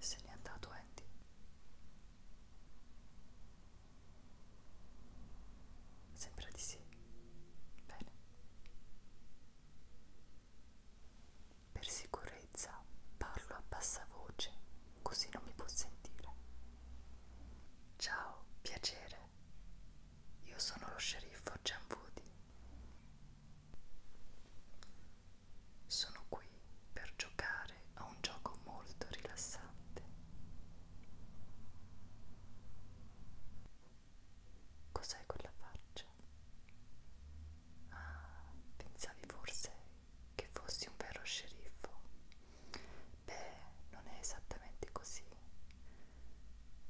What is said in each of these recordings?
Se n'è andato Andy. Sembra di sì. Bene. Per sicurezza parlo a bassa voce, così non mi può sentire. Ciao, piacere. Io sono lo sceriffo Gianvudi. Sono qui per giocare a un gioco molto rilassante. Cos'è quella faccia? Ah, pensavi forse che fossi un vero sceriffo? Beh, non è esattamente così.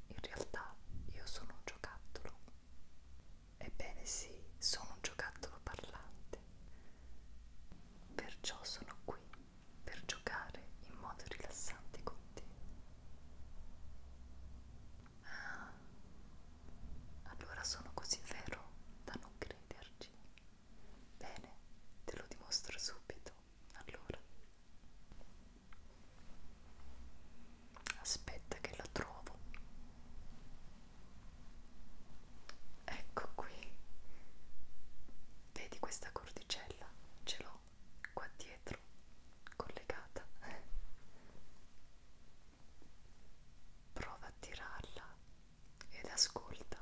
In realtà io sono un giocattolo Ebbene sì, sono un giocattolo parlante. Perciò sono qui per giocare in modo rilassante con te. Ah, allora sono così vero da non crederci. Bene, te lo dimostro subito. Allora, aspetta che la trovo ecco qui vedi questa cordicella ce l'ho qua dietro collegata prova a tirarla ed ascolta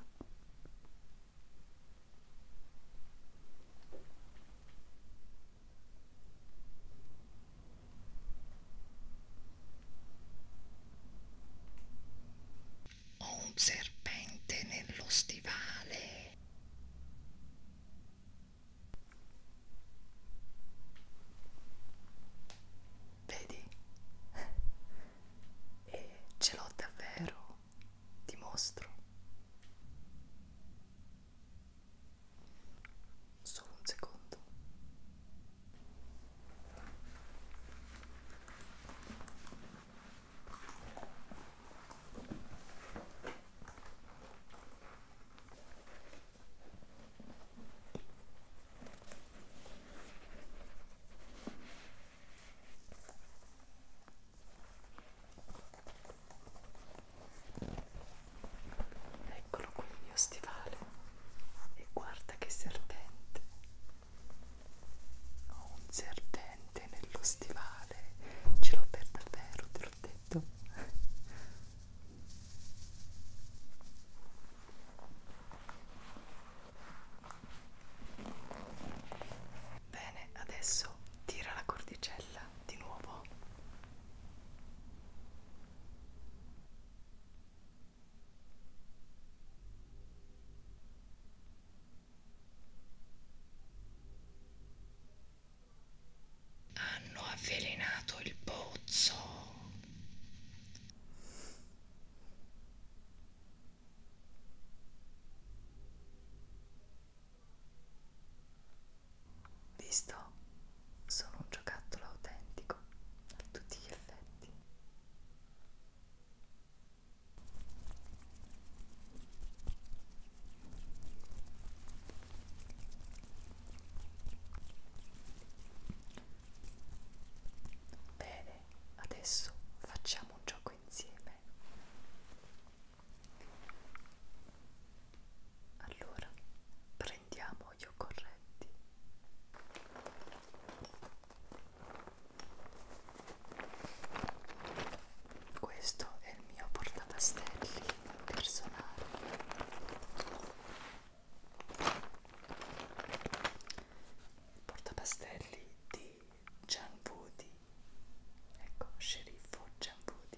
ho un serpente nello stivale. Vedi? E ce l'ho davvero, ti mostro solo un secondo Eccolo qui il mio stivale e guarda che serpente. Ho un serpente nello stivale, ce l'ho per davvero, te l'ho detto. Bene, adesso tira la cordicella di nuovo hanno avvelenato il pozzo. Visto? Sono un giocattolo autentico a tutti gli effetti. Bene, adesso facciamo un gioco insieme. Allora, prendiamo gli occorrenti. Questo è il mio portapastelli personale. Il portapastelli di Gianvuti. Ecco, sceriffo Gianvuti.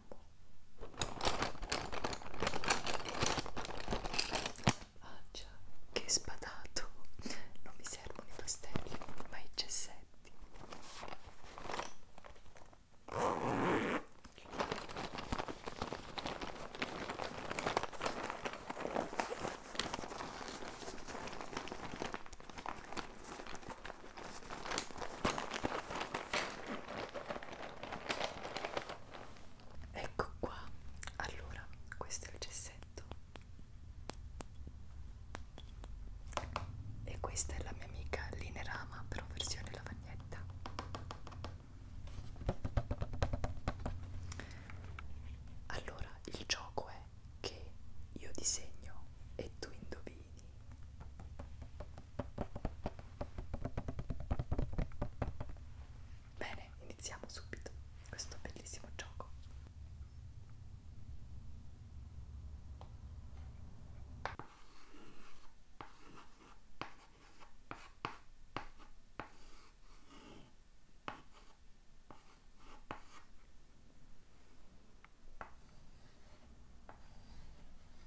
amo Mangia, che spadato Non mi servono i pastelli, ma i gessetti ecco qua allora questo è il gessetto e questa è la mia amica Linerama però versione lavagnetta allora il gioco è che io disegno e tu indovini Bene, iniziamo subito questo bellissimo gioco.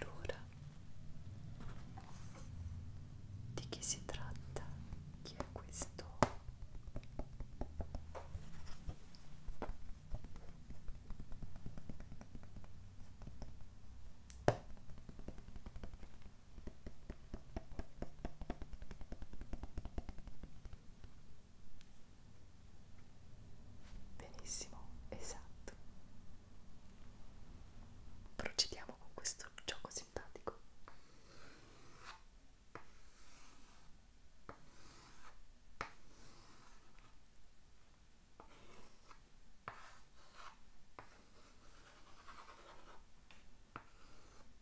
Allora, di chi si tratta? Chi è questo? Benissimo, esatto. Procediamo con questo gioco simpatico.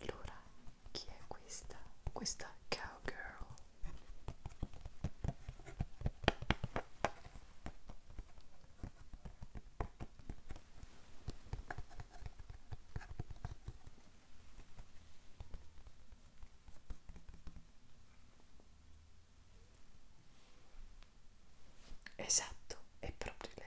Allora, chi è questa? Questa cowgirl Esatto, è proprio lei.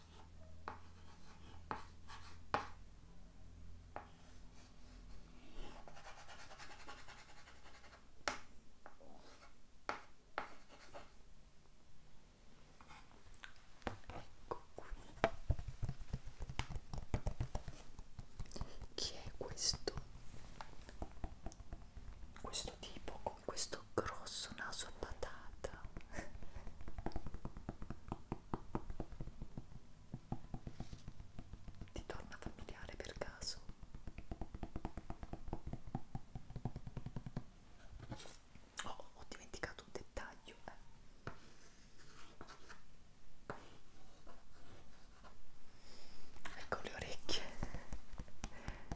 Ecco qui. Chi è questo? Questo tipo con questo grosso naso a patata. Ti torna familiare per caso? Oh, ho dimenticato un dettaglio. Eh. Ecco le orecchie,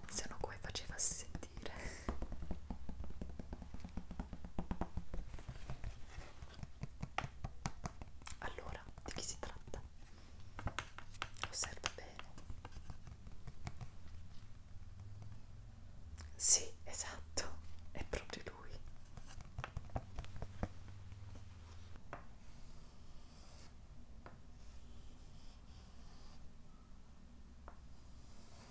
se no come faceva sentire allora, di chi si tratta? Osserva bene. Sì, esatto, è proprio lui.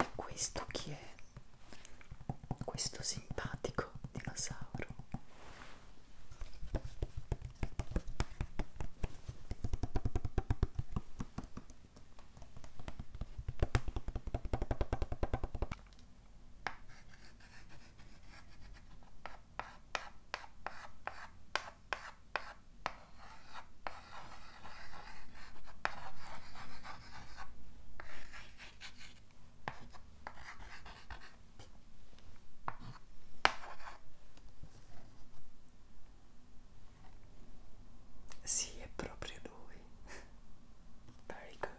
E questo chi è? Questo simpatico dinosauro. Sì, è proprio lui. Very good.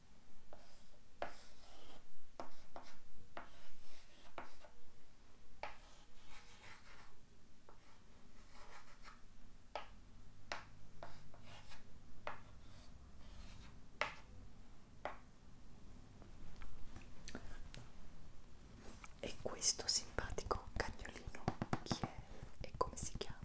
E questo simpatico cagnolino chi è e come si chiama?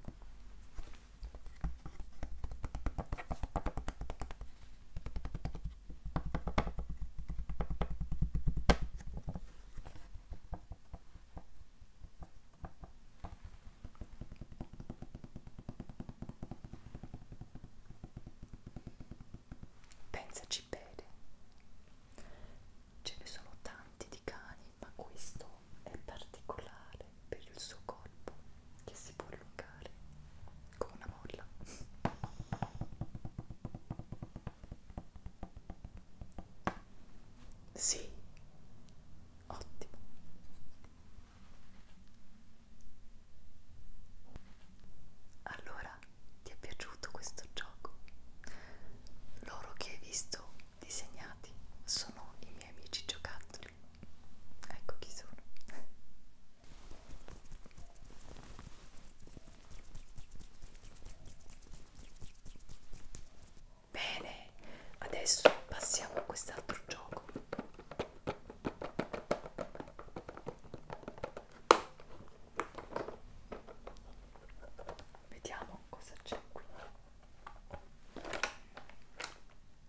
Pensaci bene, ce ne sono tanti di cani, ma questo è particolare per il suo corpo che si può allungare come una molla. Sì, ottimo. Allora, ti è piaciuto questo gioco? Loro che hai visto disegnati sono i miei amici giocattoli. Ecco chi sono. Bene, adesso passiamo a quest'altro gioco. Vediamo cosa c'è qui.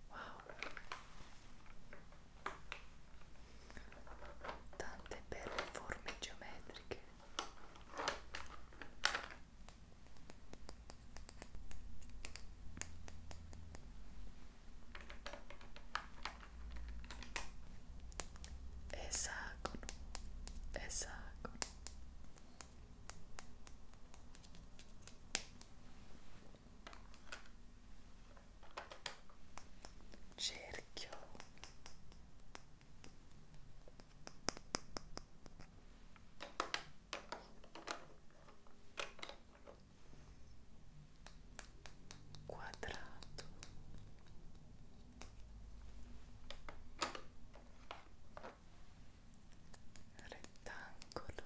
Wow tante belle forme geometriche esagono esagono cerchio quadrato rettangolo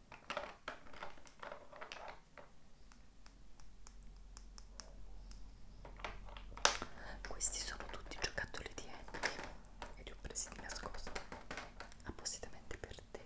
Questi sono tutti giocattoli di Andy e li ho presi di nascosto appositamente per te.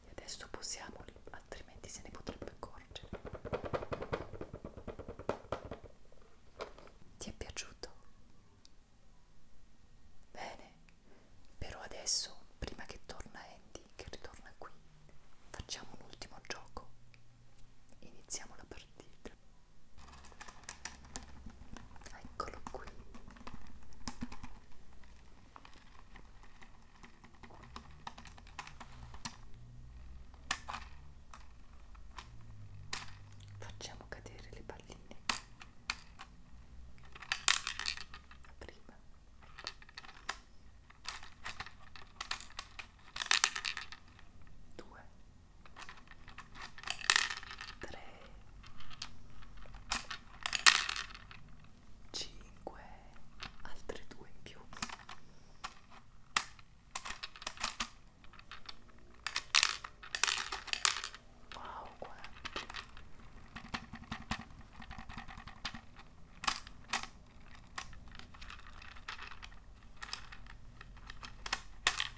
E adesso posiamoli, altrimenti se ne potrebbe accorgere. Ti è piaciuto? Bene, però adesso, prima che torna Andy, che ritorna qui, facciamo un ultimo gioco. Iniziamo la partita. Eccolo qui. Facciamo cadere le palline. Prima. Due. 3 5 altre due in più wow quanti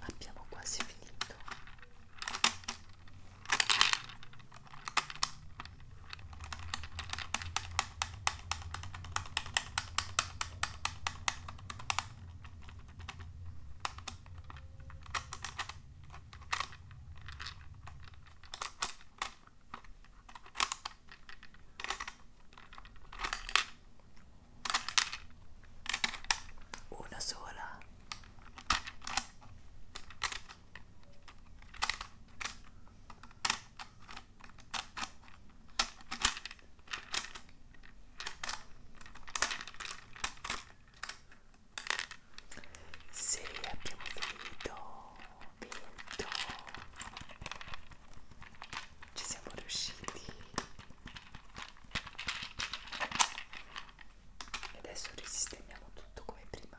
abbiamo quasi finito una sola sì, abbiamo finito, vinto ci siamo riusciti e adesso risistemiamo tutto come prima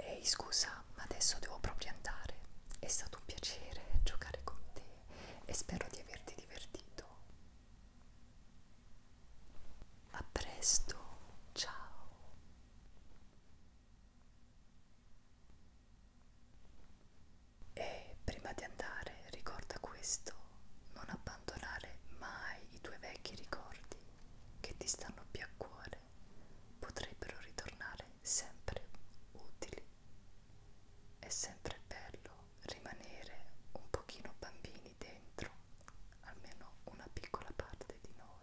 Ehi scusa, ma adesso devo proprio andare. È stato un piacere giocare con te e spero di averti divertito. A presto, ciao. E prima di andare ricorda questo, non abbandonare mai i tuoi vecchi ricordi che ti stanno più a cuore, potrebbero ritornare sempre utili. È sempre bello rimanere un pochino bambini dentro, almeno una piccola parte di noi.